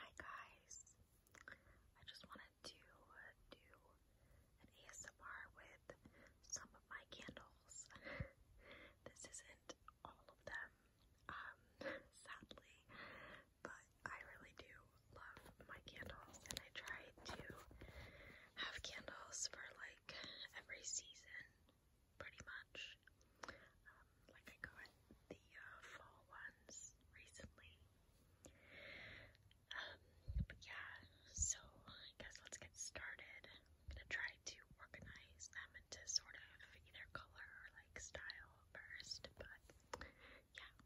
Hi guys, I just wanted to do an ASMR with some of my candles. this isn't all of them, um, sadly, but I really do love my candles and I try to have candles for like every season pretty much. Um, like I got the uh, fall ones recently. Um, but yeah, so I guess let's get started. I'm gonna try to organize them into sort of either color or like style first, but yeah.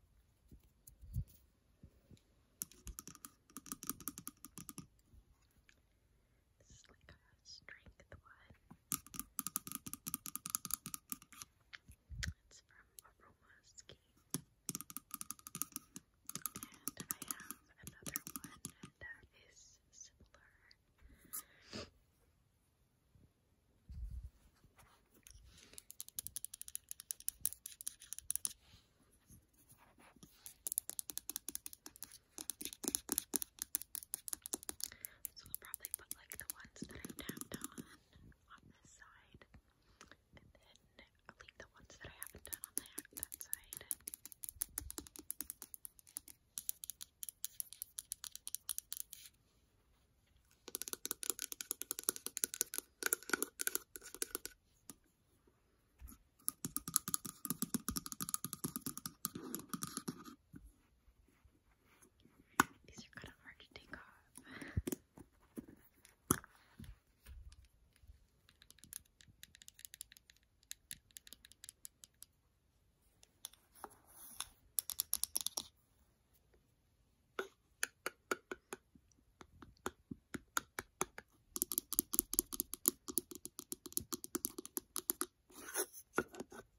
This is like a strength one. It's from Aroma Scheme. And I have another one that is similar. So we'll probably put like the ones that I tapped on on this side, and then leave the ones that I haven't done on that that side. These are kind of hard to take off. I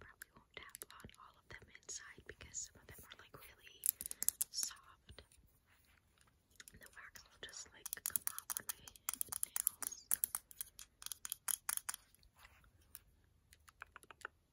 probably won't tap on all of them inside because some of them are like really soft. And the wax will just like come off on my nails.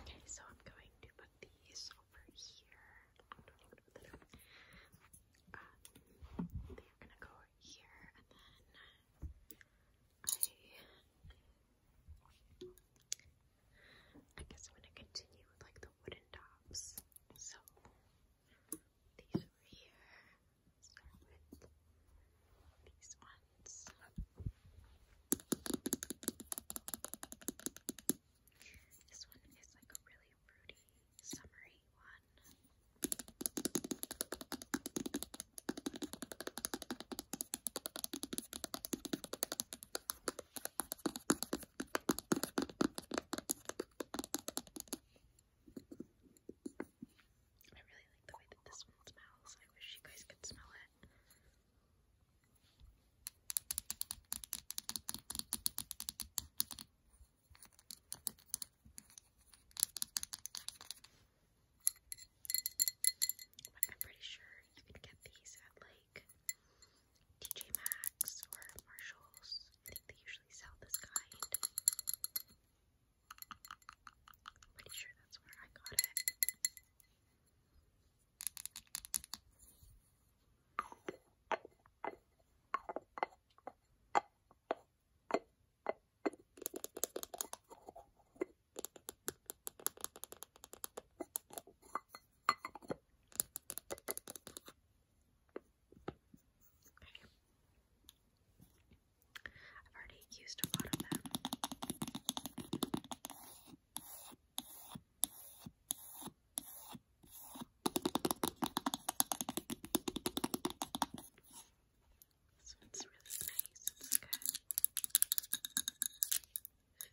Okay, so I'm going to put these over here. Uh, they're gonna go here, and then I guess I'm gonna continue with like the wooden tops. So these over here. these ones. This one is like a really fruity, summery one. I really like the way that this one smells. I wish you guys could smell it. But I'm pretty sure you can get these at like like TJ Maxx or Marshalls. I think they usually sell this kind. I'm pretty sure that's where I got it. I Okay. I've already used a lot of them. This one's really nice. It's good.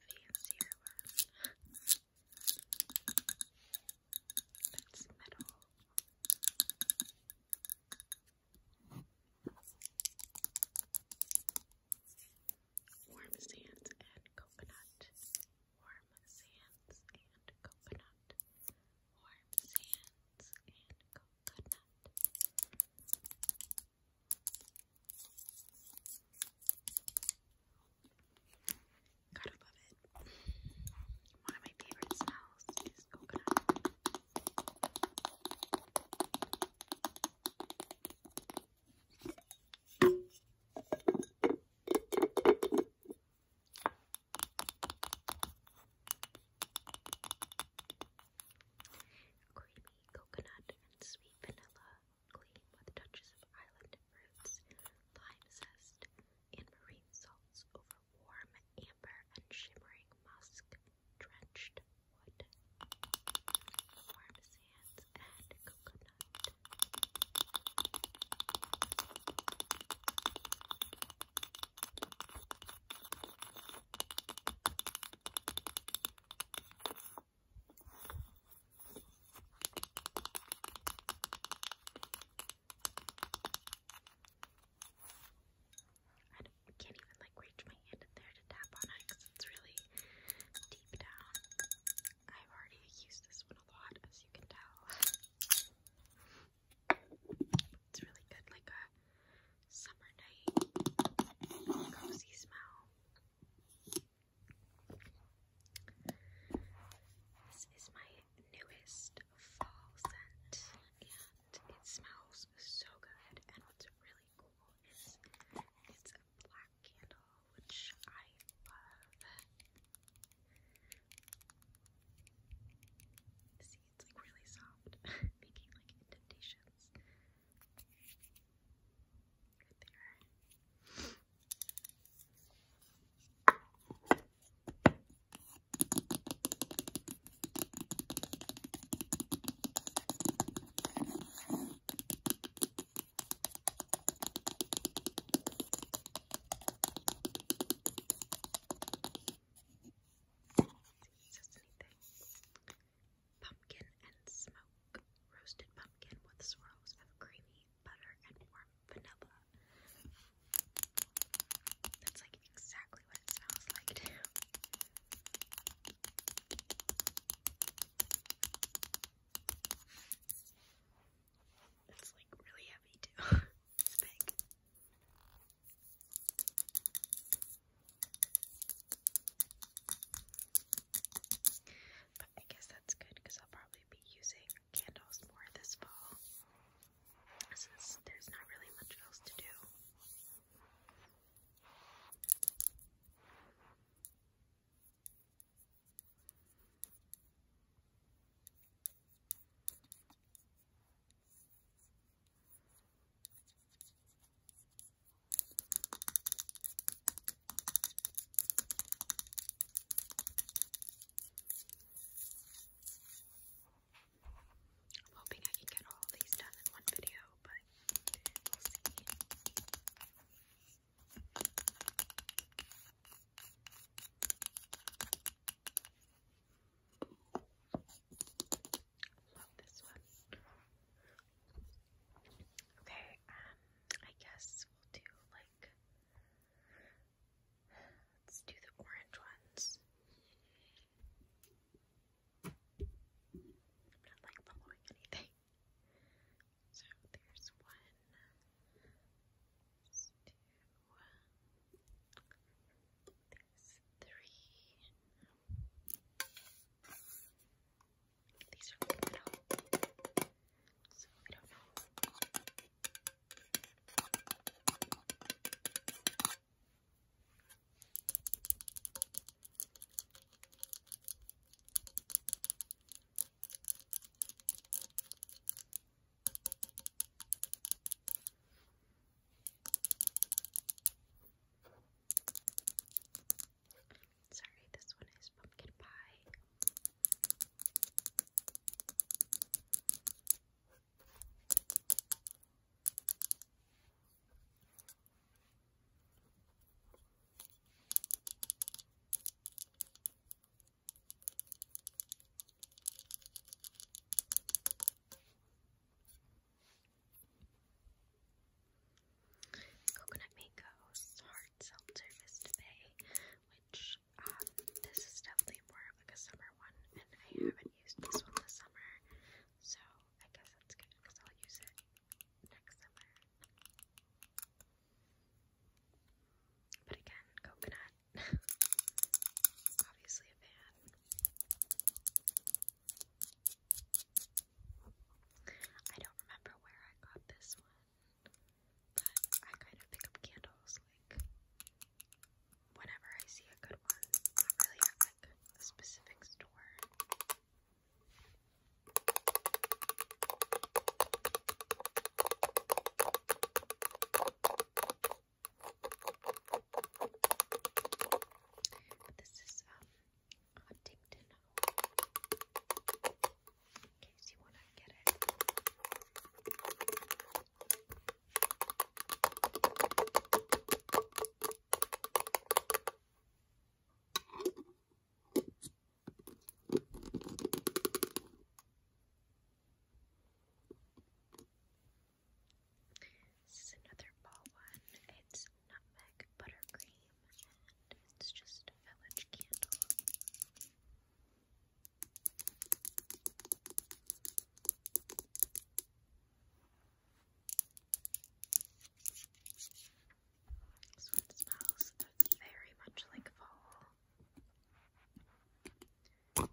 Fancier one. That's metal. Warm sands and coconut. Warm sands and coconut. Warm sands and coconut. Gotta love it. One of my favorite smells is coconut. Creamy coconut and sweet vanilla, with touches of island fruits, lime zest, and marine salts over warm amber and shimmering musk-drenched wood, warm sands, and coconut. I can't even like reach my hand in there to tap on it because it's really deep down. I've already used this one a lot, as you can tell. It's really good, like a summer night cozy smell. This is my newest fall scent, and it smells so good. And what's really cool is it's a black candle, which I love. See, it's like really soft, making like indentations. Pumpkin and smoke. Roasted pumpkin with swirls of creamy butter, and warm vanilla. That's like exactly what it smells like, too. It's like really heavy, too. it's big. But I guess that's good because I'll probably be using candles more this fall since there's not really much else to do. I'm hoping I can get all of these done in one video, but we'll see. Love this one. Okay, um, I guess we'll do like Let's do the orange ones. I'm not like following anything. So there's one, two, there's three. These are in so we don't know Sorry, this one is pumpkin pie. Coconut Mango's Hard Seltzer Vista Bay, which um, this is definitely more of like a summer one, and I haven't used this one this summer, so I guess that's good because I'll use it next summer. But again, coconut. Obviously a fan. I don't remember where I got this one but I kind of pick up candles like whenever I see a good one. Not really at like a specific store. But this is um Huntington in case you want to get it. This is another ball one. It's nutmeg buttercream and it's just a village candle. This one smells very much like fall. I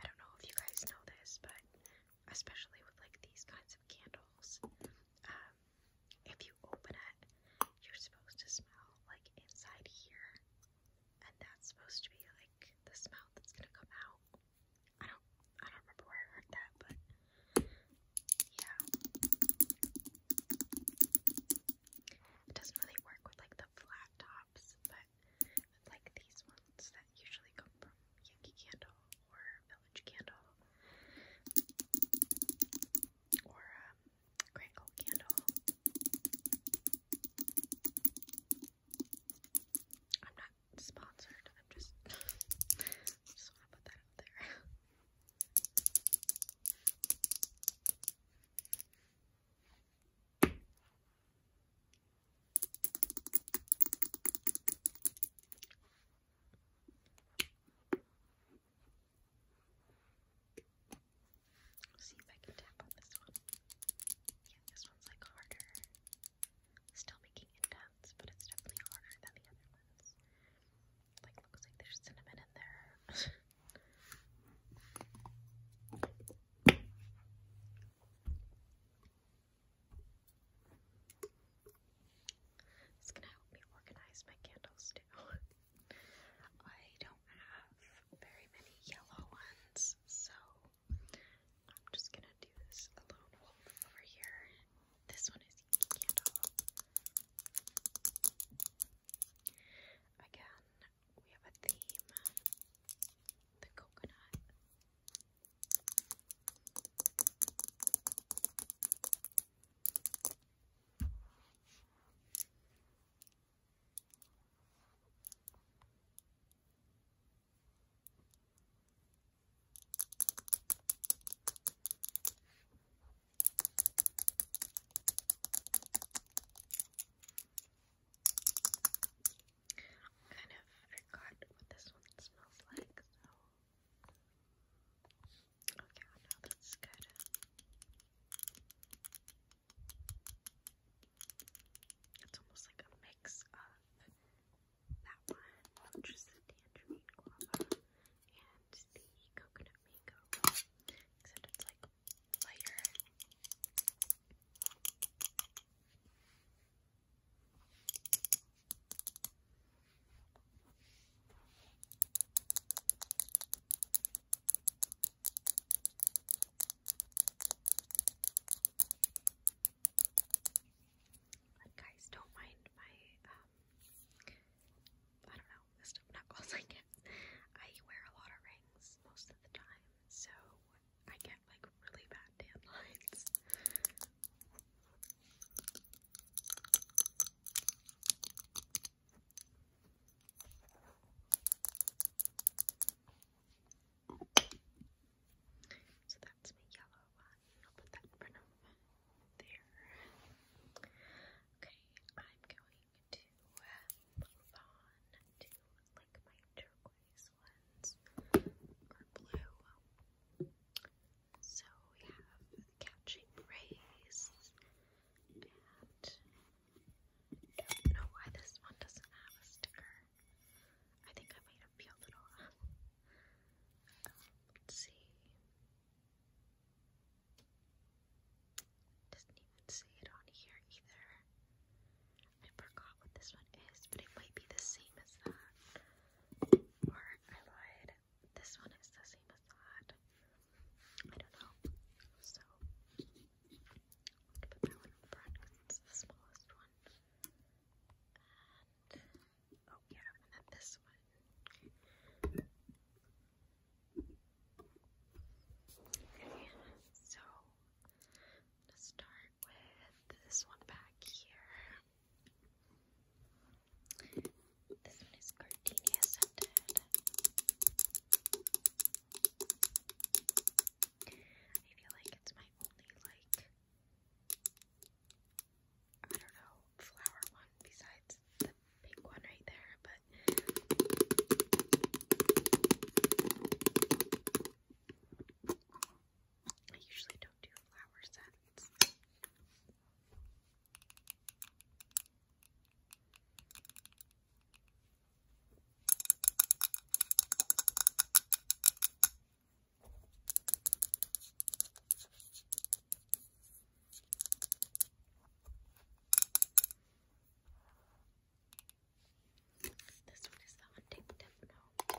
don't know if you guys know this, but especially with like these kinds of candles, um, if you you open it, you're supposed to smell like inside here, and that's supposed to be like the smell that's gonna come out. I don't, I don't remember where I heard that, but yeah, it doesn't really work with like the flat tops, but like these ones that usually come from Yankee Candle or Village Candle or um, crackle candle. I'm not sponsored, I'm just, just want to put that out there. Let's see if I can tap on this one. Yeah, this one's like harder. Still making indents, but it's definitely harder than the other ones. Like, looks like there's cinnamon in there. It's gonna help me organize my candles too. I don't have very many yellow ones, so I'm just gonna do this alone wolf over here. This one is candle. Again, we have a theme. The coconut kind of forgot what this one smells like, so okay, well now that's good. It's almost like a mix of that one, which is the tangerine guava, and the coconut mango, except it's like lighter. But guys, don't mind my um, I don't know, list of knuckles I get. I wear a lot of rings most of the time, so I get like really bad dandelions. So that's my yellow one. I'll put that in front of there. Okay, I'm going to move on to like my turquoise ones or blue. So we have the rays and don't know why this one doesn't have a sticker. I think I might have peeled it Let's see. Doesn't even say it on here either. I forgot what this one is, but it might be the same as that. Or I lied. This one is the same as that. I don't know. So, I'll put that one in front because it's the smallest one. And, oh yeah, and then this one. Okay, so let's start with this one back here. This one is gardenia scented. I feel like it's my only like I don't know flower one besides the pink one right there, but I usually don't do flower scents. This one is the hunting tip now.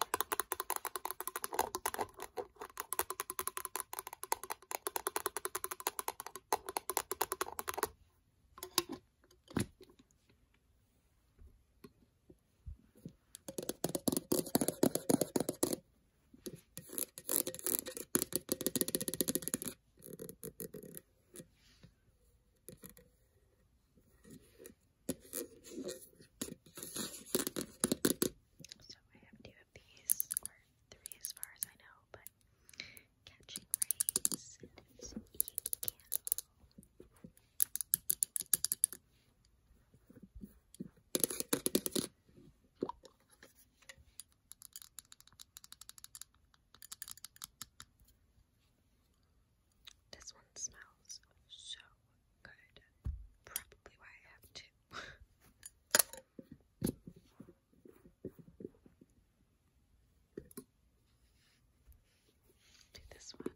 So I have two of these, or three as far as I know, but Catching Rays, and it's Candle. This one smells so good. Probably why I have two. Do this one.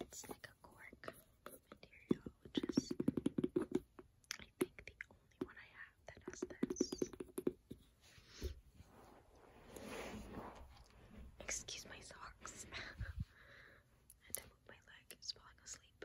It's like a cork material, which is, I think, the only one I have that has this. Excuse my socks. and I moved my leg, falling asleep.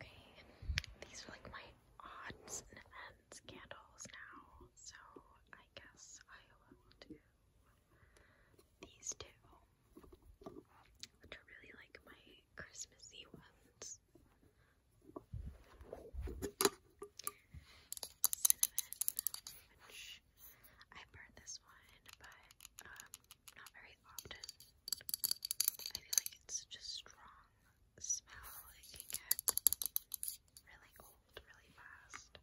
Okay, these are like my odds and ends candles now, so I guess I will do these two, which really like my Christmassy ones cinnamon, I burn this one, but um, not very often. I feel like it's such strong smell, it can get really old really fast.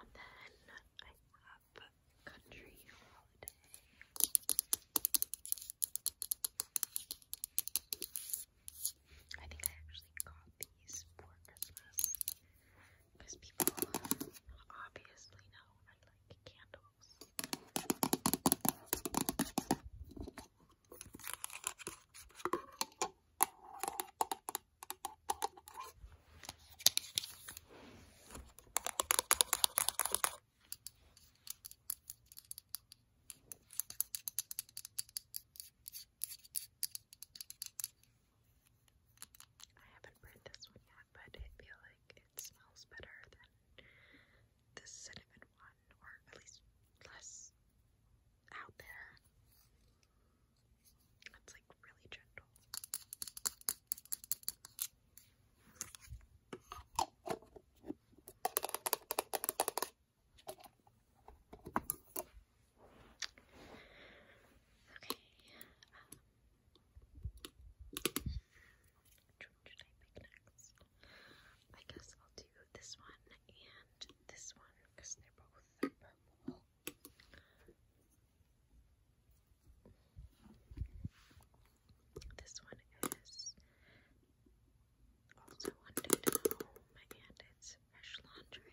And then I have Country Holiday. I think I actually got these for Christmas because people obviously know I like candles. I haven't burned this one yet, but it feels like it smells better than the cinnamon one fun, or at least less out there. That's like really gentle. Okay. Um, which one should I pick next? I guess I'll do this one and this one because they're both purple. This one is also London Home and it's Fresh Laundry.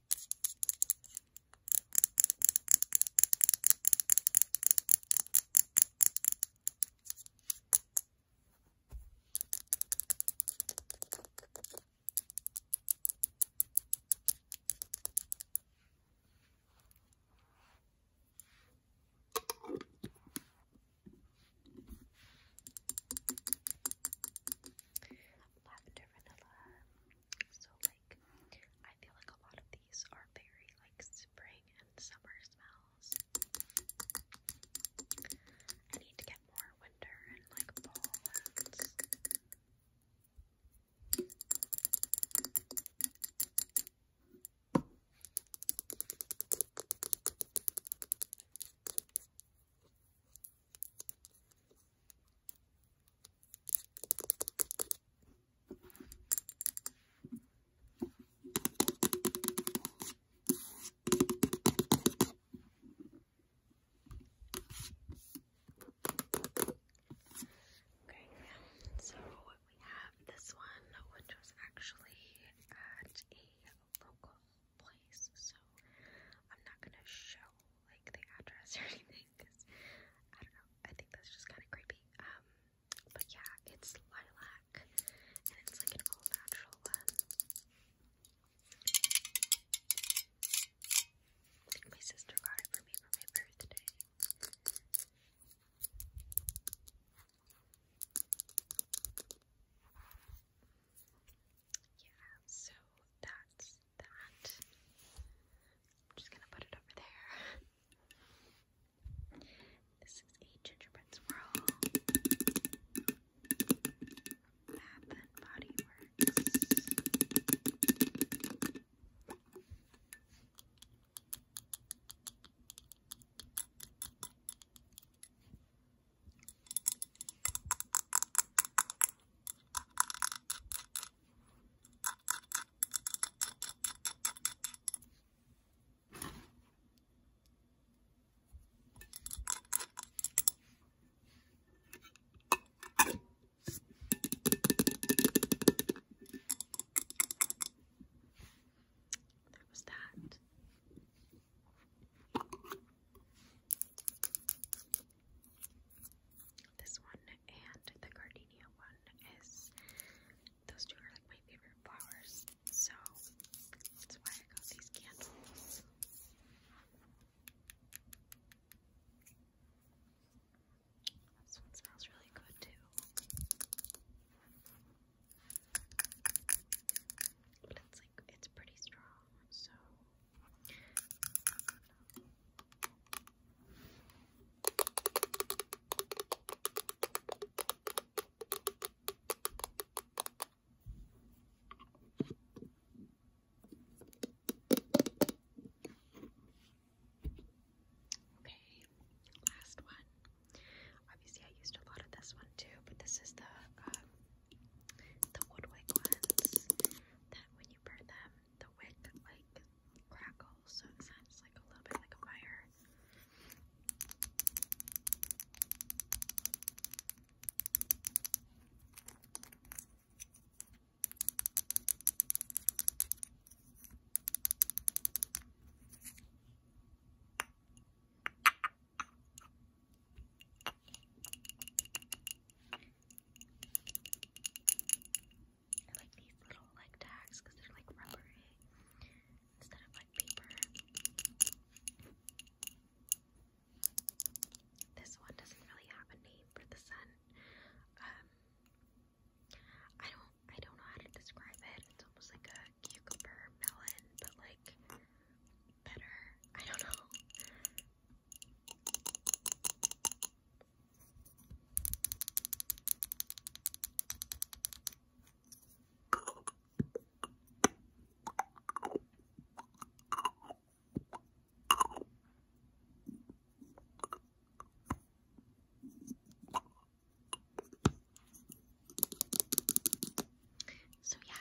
Lavender vanilla. So like I feel like a lot of these are very like spring and summer smells. I need to get more winter and like fall ones. Okay, so we have this one, which was actually at a local place, so I'm not gonna show like the address or anything, I don't know, I think that's just kind of creepy. Um, but yeah, it's lilac and it's like an all natural my sister got it for me for my birthday. Yeah, so that's I'm just gonna put it over there. This is a gingerbread swirl. Bath and Body Works. There was that. This one and the gardenia one is those two are like my favorite flowers, so that's why I got these candles. This one smells really good too. But it's like, it's pretty strong, so. Okay, last one. Obviously, I used a lot of this one too, but this is the um, the Woodwick that when you burn them, the wick like crackles, so it sounds like a little bit like a fire. I like these little like tags because they're like rubbery instead of like paper. This one doesn't really have a name for the sun. Um, I don't, I don't know how to describe it. It's almost like a cucumber melon, but like better. I don't know. So, yeah,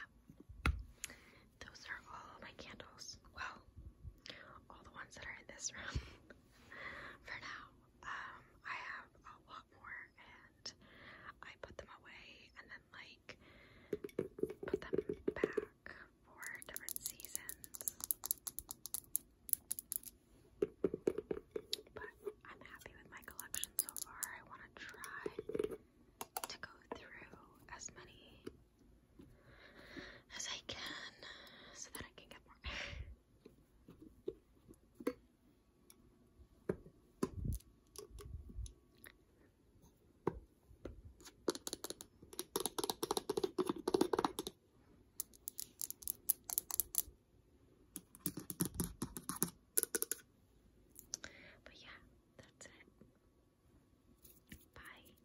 those are all my candles. Well, all the ones that are in this room. for now. Um, I have a lot more and I put them away and then like put them back for different seasons. But I'm happy with my collection so far. I want to try to go through as many as I can so that I can get more. But yeah, that's it. Bye.